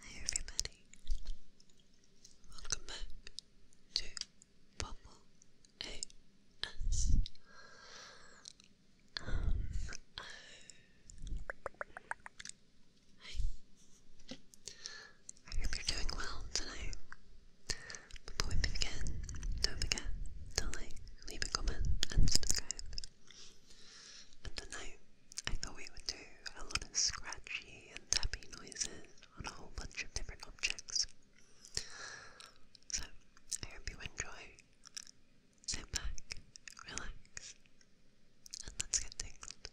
Hi everybody, welcome back to Bubble AS. Um, I hope you're doing well tonight. Before we begin, don't forget to like, leave a comment, and subscribe. I do I thought we would do a lot of scratchy and tappy noises on a whole bunch of different objects. So, I hope you enjoy. Sit back, relax, and let's get tingled.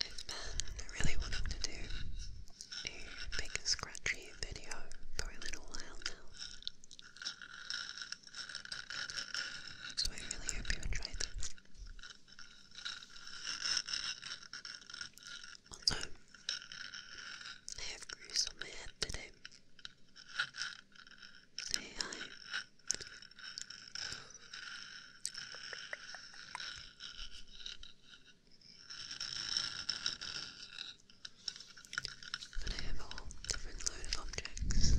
I've been really wanting to do a big scratchy video for a little while now. So I really hope you enjoyed this. Also, I have grease on my head today. Say hi. I have a whole different load of objects to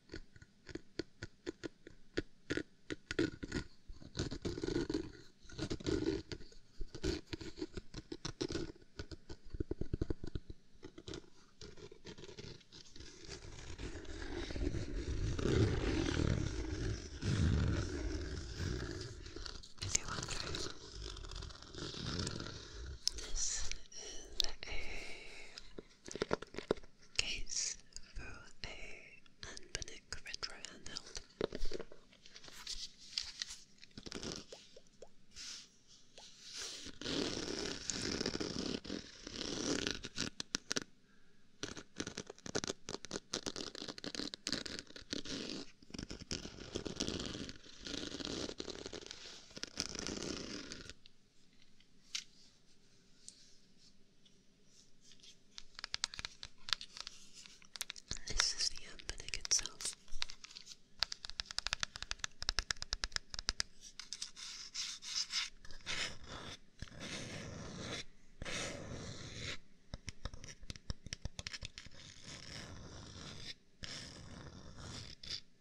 This is a case for a Anbernic retro handheld. This is the embedding itself.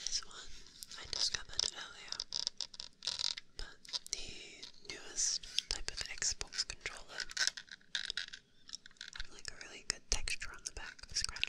This one I discovered earlier, but the newest type of Xbox controller have like a really good texture on the back for scratching.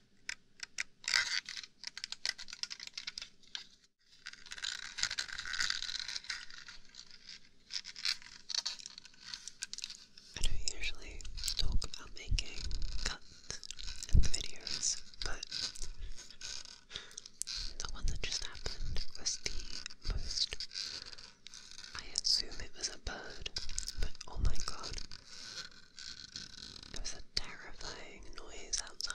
I don't usually talk about making cuts videos, but the one that just happened was the most. I assume it was a bird, but oh my god, it was a terrifying noise outside.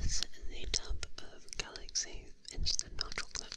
This is the top of Galaxy Instant Hot Chocolate.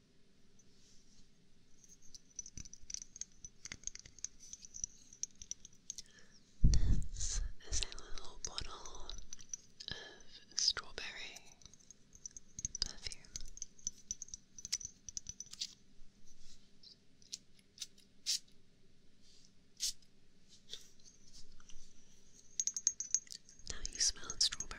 This is a little bottle of strawberry perfume. Now you smell strawberry.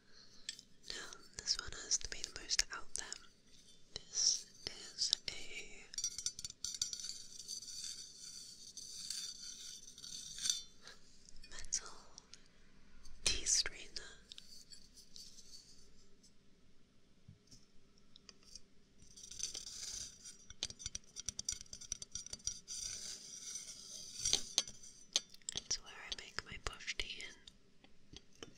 Now, this one has to be the most out there. This is a metal tea strainer. It's where I make my bush tea in.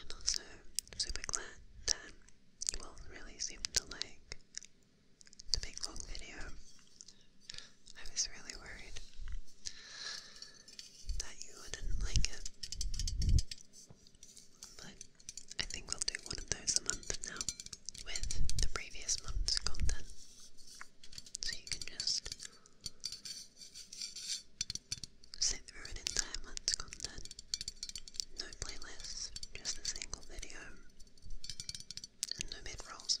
and also super glad that you all really seem to like the big long video. I was really worried that you wouldn't like it. But I think we'll do one of those a month now with the previous month's content. So you can just sit through an entire month's content. No playlists, just a single video. no bedrolls.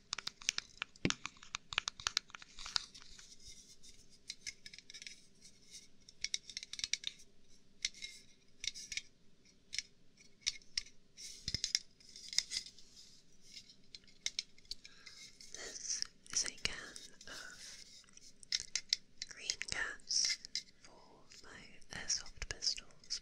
This is a can of green gas for my airsoft pistols.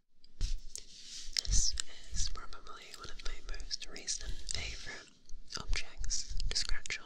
This is probably one of my most recent favourite objects to scratch on.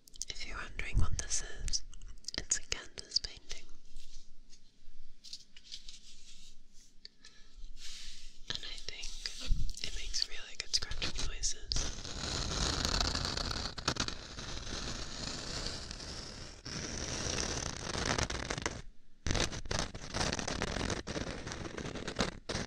If you're wondering what this is, it's a canvas painting. And I think it makes really good scratching noises.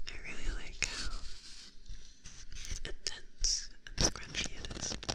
I really like how intense and scrunchy it is. I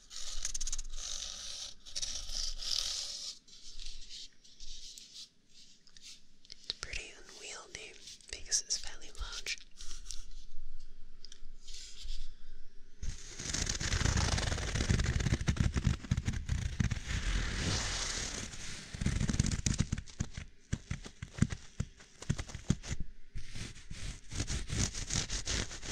It's pretty unwieldy because it's fairly large.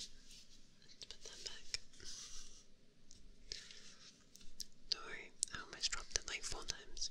Let's put that back. Sorry, I almost dropped it like four times.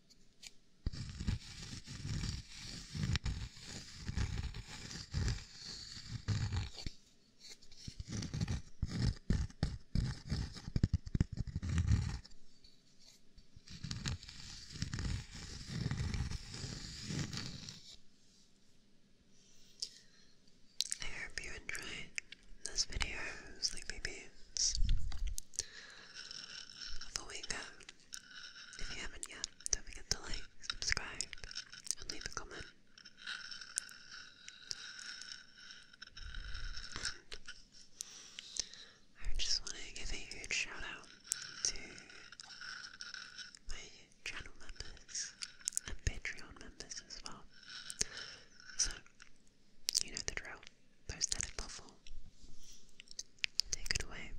I hope you enjoyed this video, Sleepy following um, if you haven't yet, don't forget to like, subscribe, and leave a comment. I just want to give a huge shout out to my channel members and Patreon members as well. So, you know the drill prosthetic puffle. Take it away.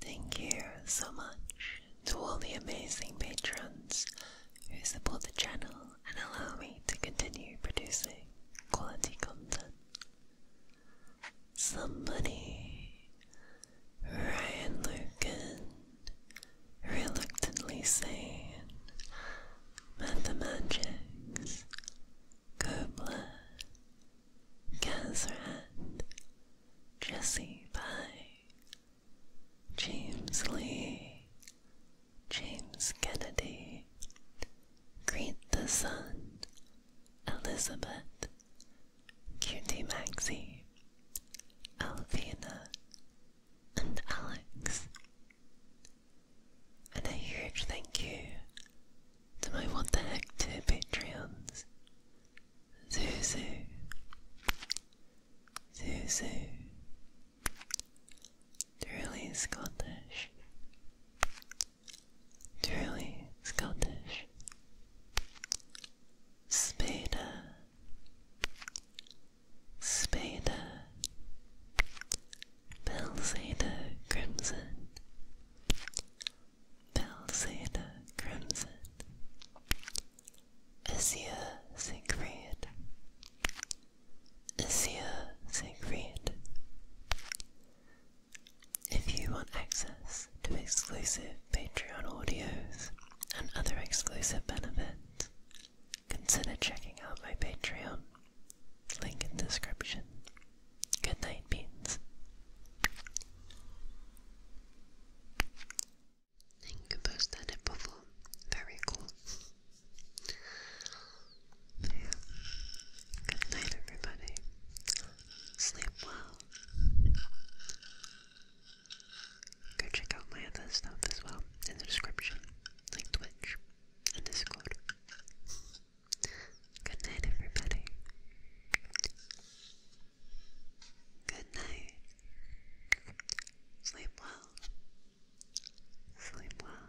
Thank you so much to all the amazing patrons who support the channel and allow me to continue producing quality content. Somebody, Ryan Lucan, reluctantly saying, Mathematics, Cobla, Gazrat, Jesse Pye, James Lee, James Kennedy, Greet the Sun, Elizabeth, Cutie Maxie, Alvina, and Alex. And a huge thank you to my What the Heck 2 patrons, Zuzu, Zuzu, Truly Scottish, Truly Scottish, Spada, Spada, Belsado Crimson, Balzada Crimson, Isia Siegfried, Isia Siegfried. If you want access to exclusive Patreon audios and other exclusive benefits, consider checking out my Patreon, link in description. Good night, Beans. Think about that above. Very cool. Good night, everybody. Sleep well. Go check out my other stuff as well in the description, like Twitch and Discord. Good night, everybody. Good night. Sleep well. Sleep well.